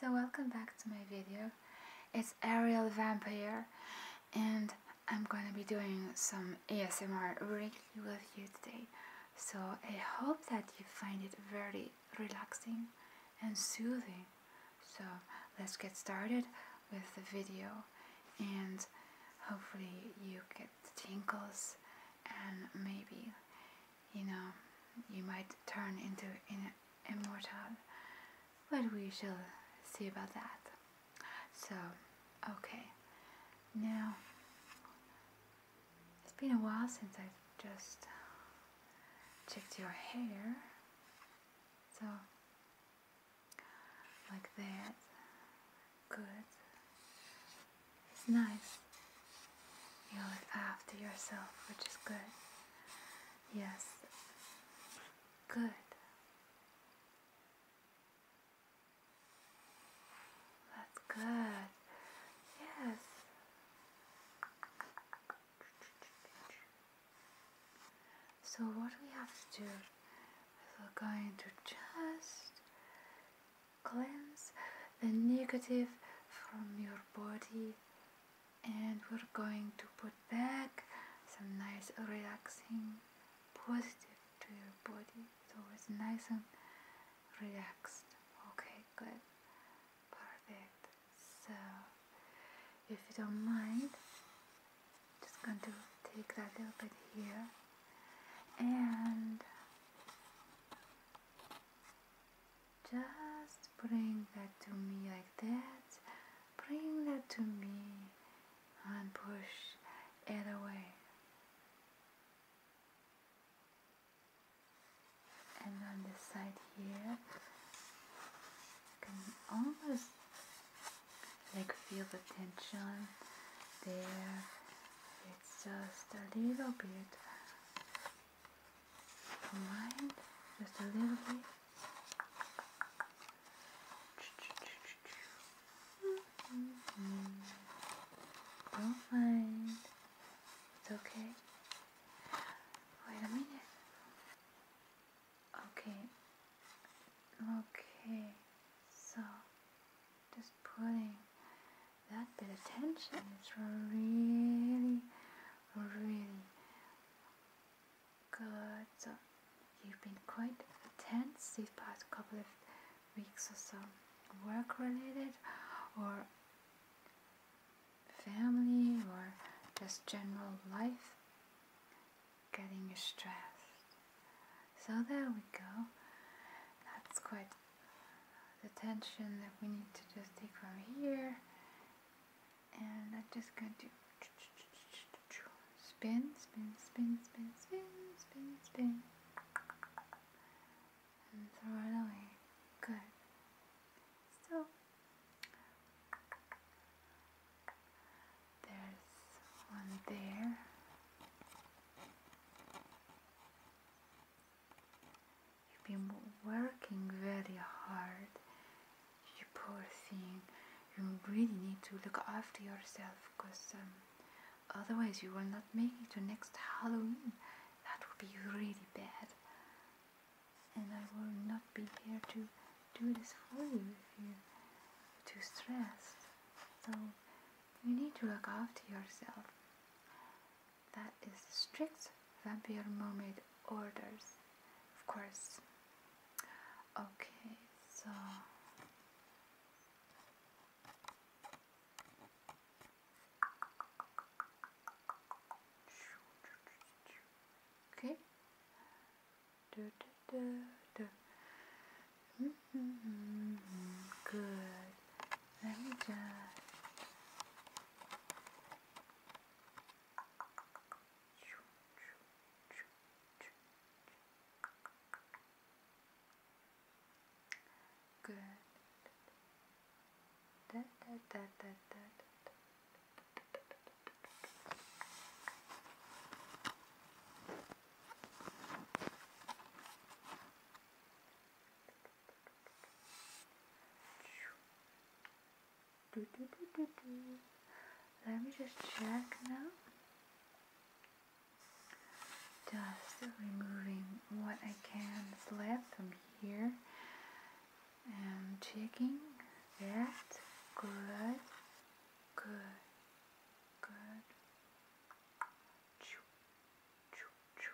So welcome back to my video. It's Ariel Vampire and I'm gonna be doing some ASMR really with you today. So I hope that you find it very relaxing and soothing. So let's get started with the video and hopefully you get the tingles and maybe you know, you might turn into immortal. But we shall see about that. So, okay. Now, it's been a while since I've just checked your hair. So, like that. Good. It's nice. You look after yourself, which is good. Yes, good. That's good. Yes. So what we have to do is we're going to just cleanse the negative from your body and we're going to put back some nice relaxing positive to your body so it's nice and relaxed okay good perfect so if you don't mind just going to take that little bit here and just bring that to me like that. Bring that to me and push it away. And on this side here, can almost like feel the tension there. It's just a little bit combined just a little bit. Don't mind. It's okay. Wait a minute. Okay. Okay. So just putting that bit of tension. It's really really good. So you've been quite tense these past couple of weeks or so, work related or family or just general life getting stressed. So there we go. That's quite the tension that we need to just take from here and I'm just going to spin, spin, spin, spin, spin, spin, spin, and throw it away. Good. So there's one there. You've been working very hard, you poor thing. You really need to look after yourself because um, otherwise you will not make it to next Halloween. That would be really bad. And I will not be here to do this for you if you're too stressed. So you need to look after yourself that is strict vampire mermaid orders of course okay so okay du, du, du, du. Mm -hmm. good let me just Good. Da, da, da, da, da, da. Let me just check now. Just removing what I can left from here. And checking that. Good. Good. Good.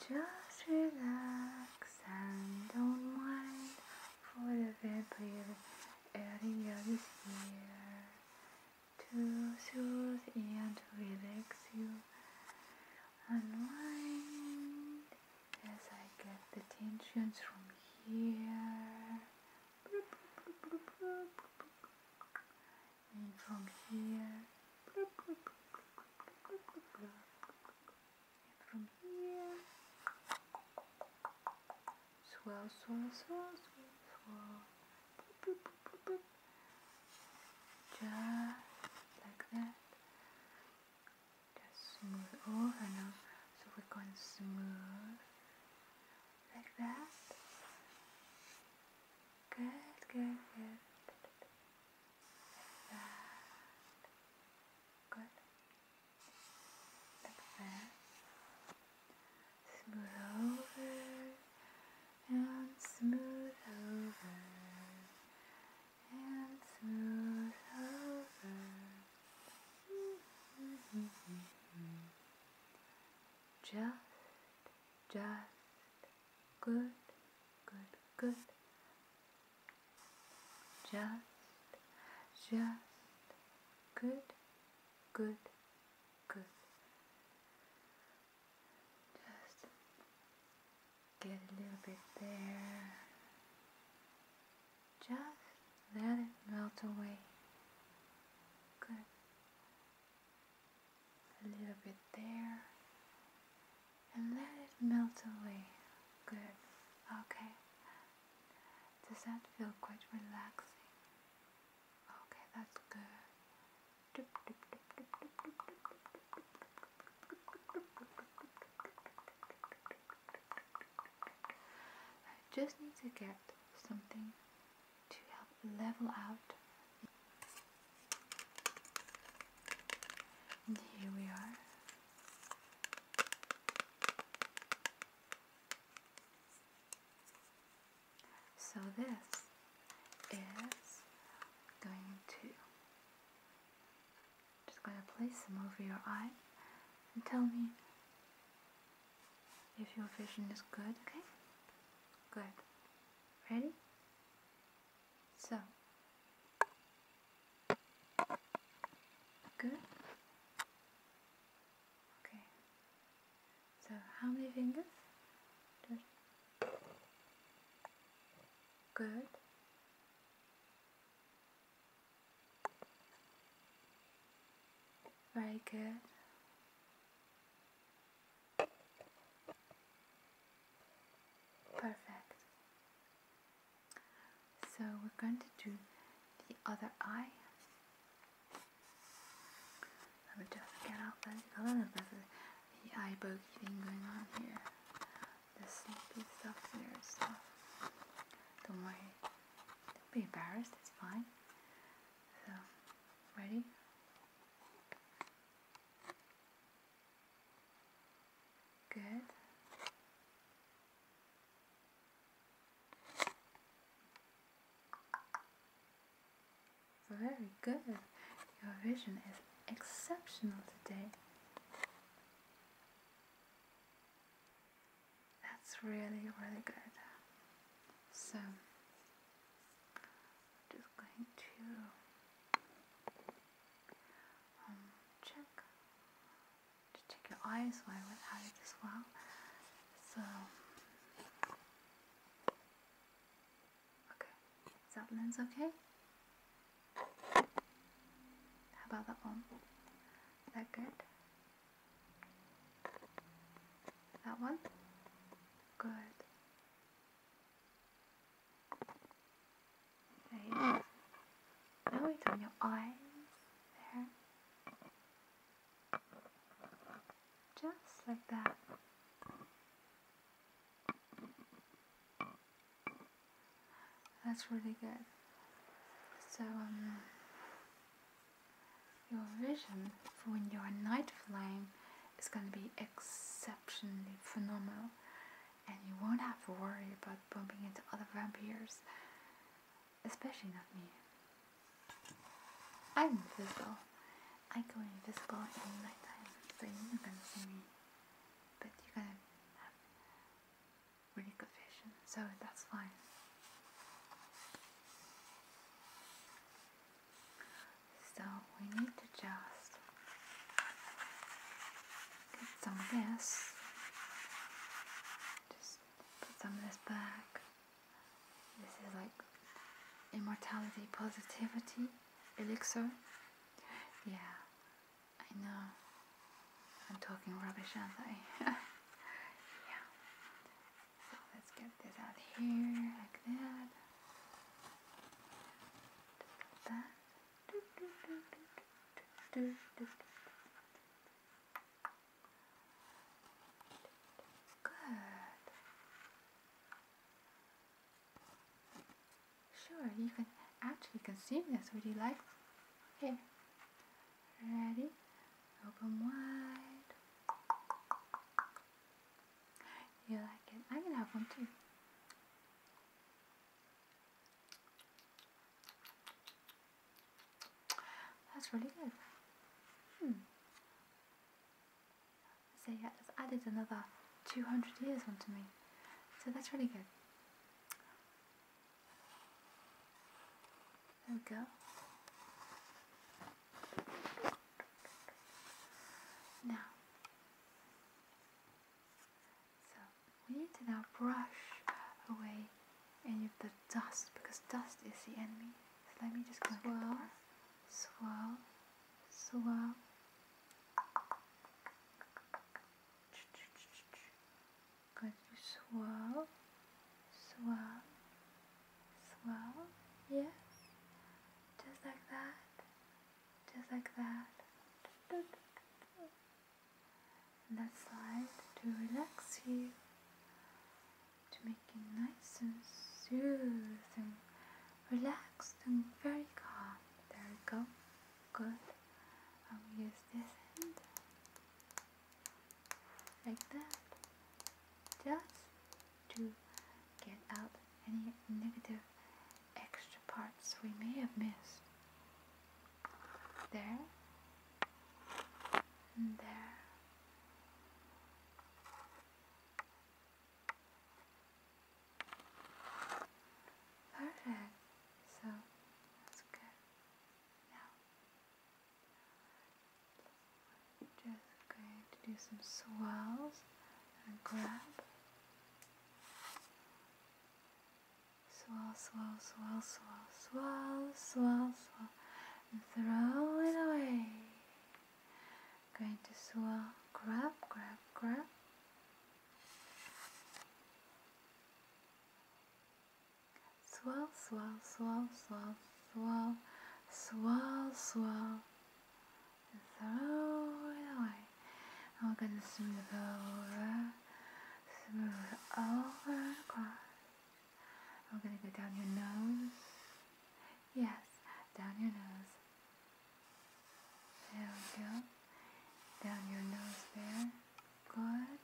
Just relax and don't mind for the people earlier this here to soothe and relax you. Unwind as I get the tensions from here and from here and from here swell swell swell swell just like that just smooth over now so we're going smooth like that Good, good, good. Like that. Good. Smooth over and smooth over and smooth over. just, just Good, good, good. Just, just, good, good, good. Just get a little bit there. Just let it melt away. Good a little bit there, and let it melt away. Good, okay. Does that feel quite relaxing? Okay, that's good. I just need to get something to help level out and here we are. So this is going to just going to place them over your eye and tell me if your vision is good, okay? Good. Ready? So good. Okay. So how many fingers? good. Very good. Perfect. So we're going to do the other eye. Let me just get out a little bit of the eye bogey thing going on here. The sleepy stuff there stuff. Don't worry. Don't be embarrassed, it's fine. So, ready? Good. Very good. Your vision is exceptional today. That's really, really good. So, just going to um, check to check your eyes while it as well. So okay, is that lens okay? How about that one? Is that good? That one? Good. Right. Now it's your eyes there. Just like that. That's really good. So um, your vision for when you're a night flame is going to be exceptional exceptionally phenomenal and you won't have to worry about bumping into other vampires, especially not me. I'm invisible. I go invisible in the time, so you're not gonna see me, but you're gonna have really good vision, so that's fine. So we need to just get some of this, just put some of this back. This is like immortality positivity elixir. Yeah, I know. I'm talking rubbish, aren't I? yeah. So let's get this out here like that. Good. Sure, you can actually consume this. Would you like? Okay. Ready? Open wide. You like it? I can have one too. That's really good. Hmm. So yeah, it's added another 200 years onto me. So that's really good. There we go. Now, so we need to now brush away any of the dust because dust is the enemy. So let me just go swirl, swirl, swirl. Going to swirl, swirl, swirl. Yes, just like that just like that. And that side to relax you, to make you nice and soothing, relaxed and very calm. There we go. Good. I'll use this end like that, just to get out any negative extra parts we may have missed. There and there. Perfect. So that's good. Now just going to do some swirls and grab Swirl, swirl, swirl, swirl, swirl, swirl, swirl, and throw it away. Going to swirl, grab, grab, grab. Swirl, swirl, swirl, swirl, swirl, swirl, swirl throw it away. And we're going to smooth over, smooth over and across. We're going to go down your nose. Yes, down your nose. There we go. Down your nose there. Good.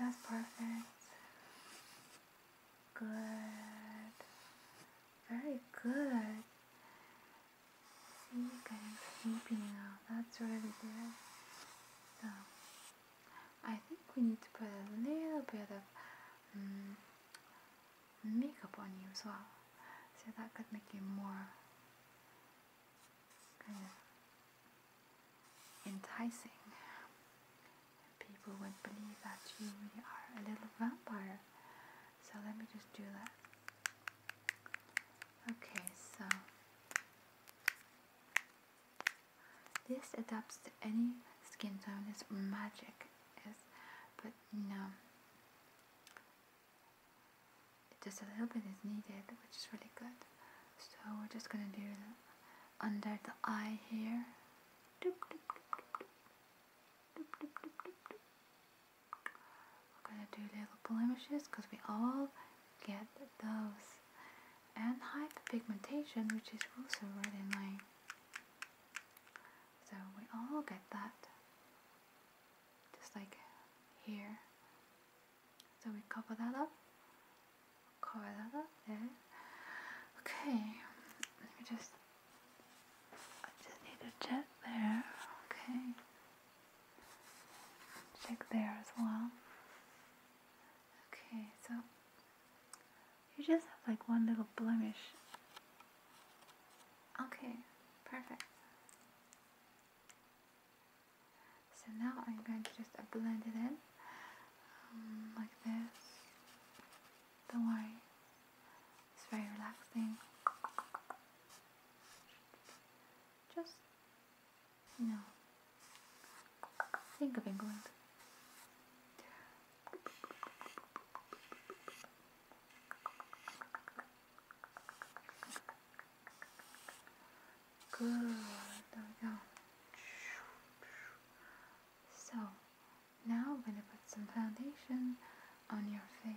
That's perfect. Good. Very good. See, getting sleepy now. That's really good. So, I think we need to put a little bit of mm, makeup on you as well. So that could make you more kind of enticing. And people would believe that you really are a little vampire. So let me just do that. Okay, so this adapts to any skin tone. It's magic, is but no, just a little bit is needed, which is really good. So we're just gonna do under the eye here. We're gonna do little blemishes because we all get those. And hyperpigmentation, which is also really annoying. So we all get that. Just like here. So we cover that up. Cover that up there. Okay. Let me just I just need a jet there. Okay check there as well. Okay, so you just have like one little blemish. Okay, perfect. So now I'm going to just blend it in um, like this. Don't worry, it's very relaxing. Just, you think of England. Good, there we go. So, now I'm going to put some foundation on your face.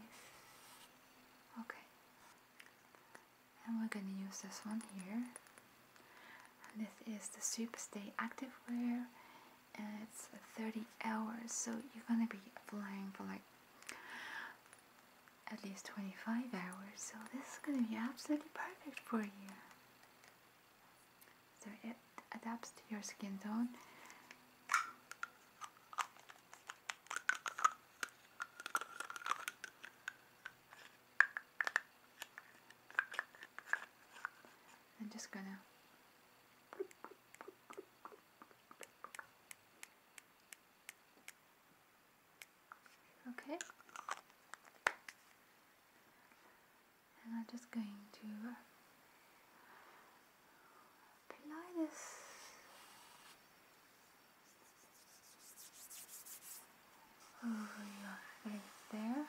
Okay. And we're gonna use this one here. And this is the Super Stay Active Wear, and it's 30 hours, so you're gonna be flying for like at least 25 hours, so this is gonna be absolutely perfect for you. So it adapts to your skin tone I'm just gonna Okay. And I'm just going to apply over your face there.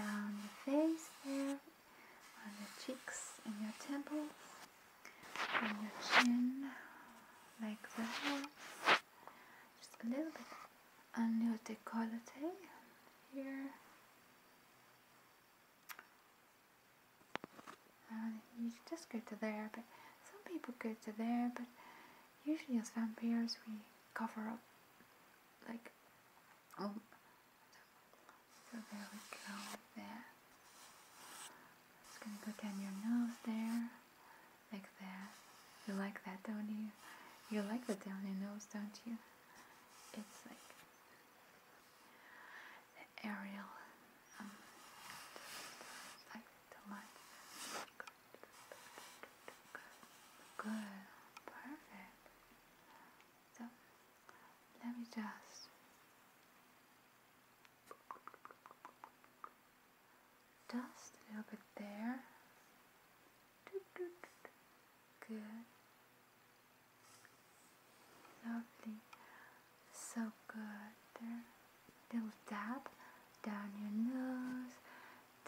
down your face there, on your cheeks and your temples, on your chin, like that. Just a little bit on your decollete here you just go to there, but some people go to there, but usually as vampires we cover up, like, oh, so there we go, there. It's gonna put down your nose there, like that. You like that, don't you? You like the down your nose, don't you? It's like, the aerial um, like too much. Good, perfect. So let me just just a little bit there. Good. Lovely. So good. There. Little dab down your nose,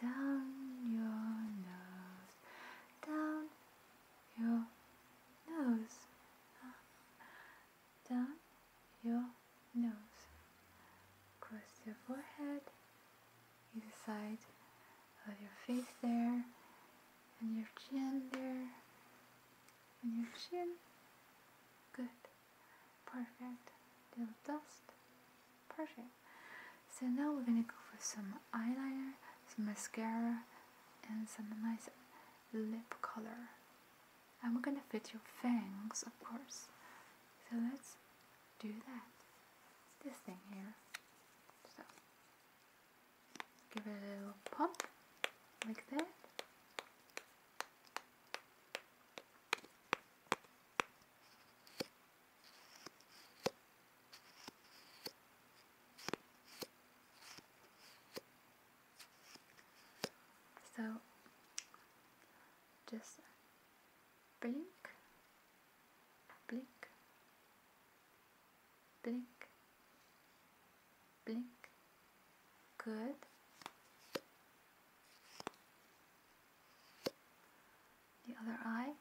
down your nose, down your nose, uh-huh. down your nose. Across your forehead, either side of your face there, and your chin there on your chin. Good. Perfect. Little dust. Perfect. So now we're gonna go for some eyeliner, some mascara, and some nice lip color. And we're gonna fit your fangs, of course. So let's do that. This thing here. So give it a little pop like that. So just blink, blink, blink, blink good the other eye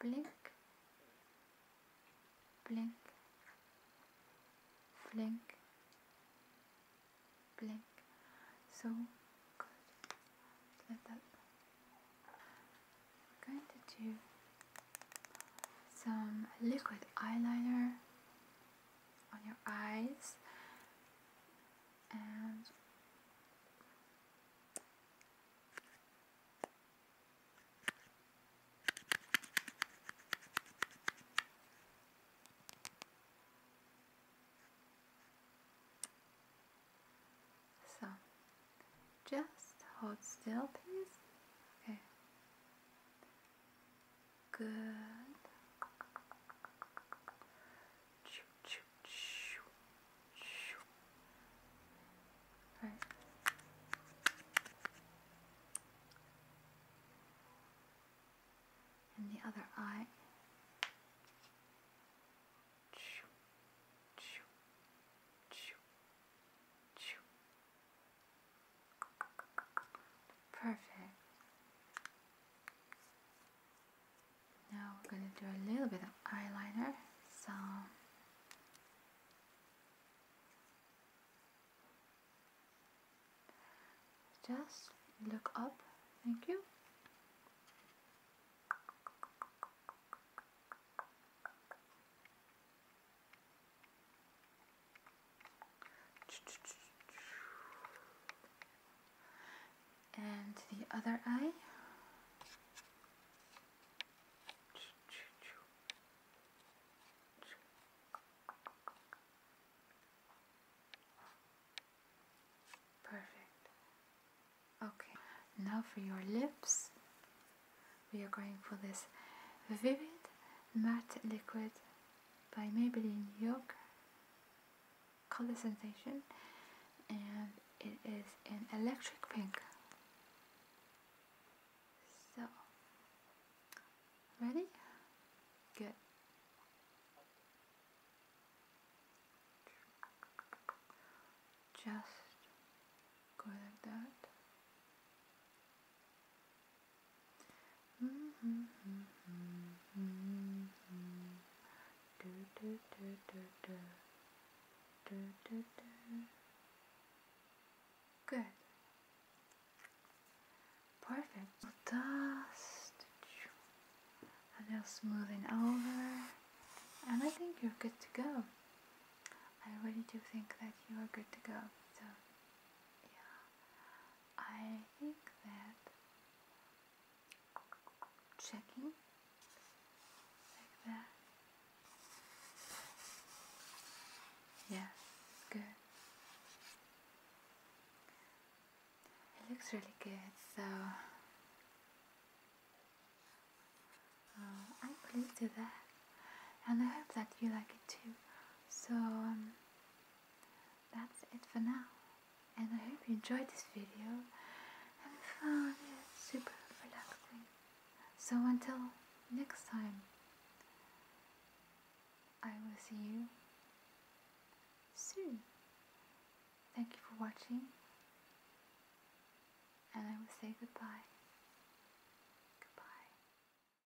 blink blink blink blink so good let that I'm going to do some liquid eyeliner on your eyes and so just hold still please okay Good. Right. And the other eye. Choo, choo, choo, choo, Perfect. Now we're going to do a little bit of eyeliner. So just look up. Thank you. And the other eye. Perfect. Okay, now for your lips, we are going for this vivid matte liquid by Maybelline York Color Sensation and it is an electric pink. So, ready? Good. Just go like that. Good. Perfect. Dust. A little smoothing over. And I think you're good to go. I really do think that you are good to go. So, yeah. I think that checking like that. Yeah, good. It looks really good, so I'm pleased with that, and I hope that you like it too. So. Um, that's it for now, and I hope you enjoyed this video and found it super relaxing. So until next time, I will see you soon. Thank you for watching, and I will say goodbye.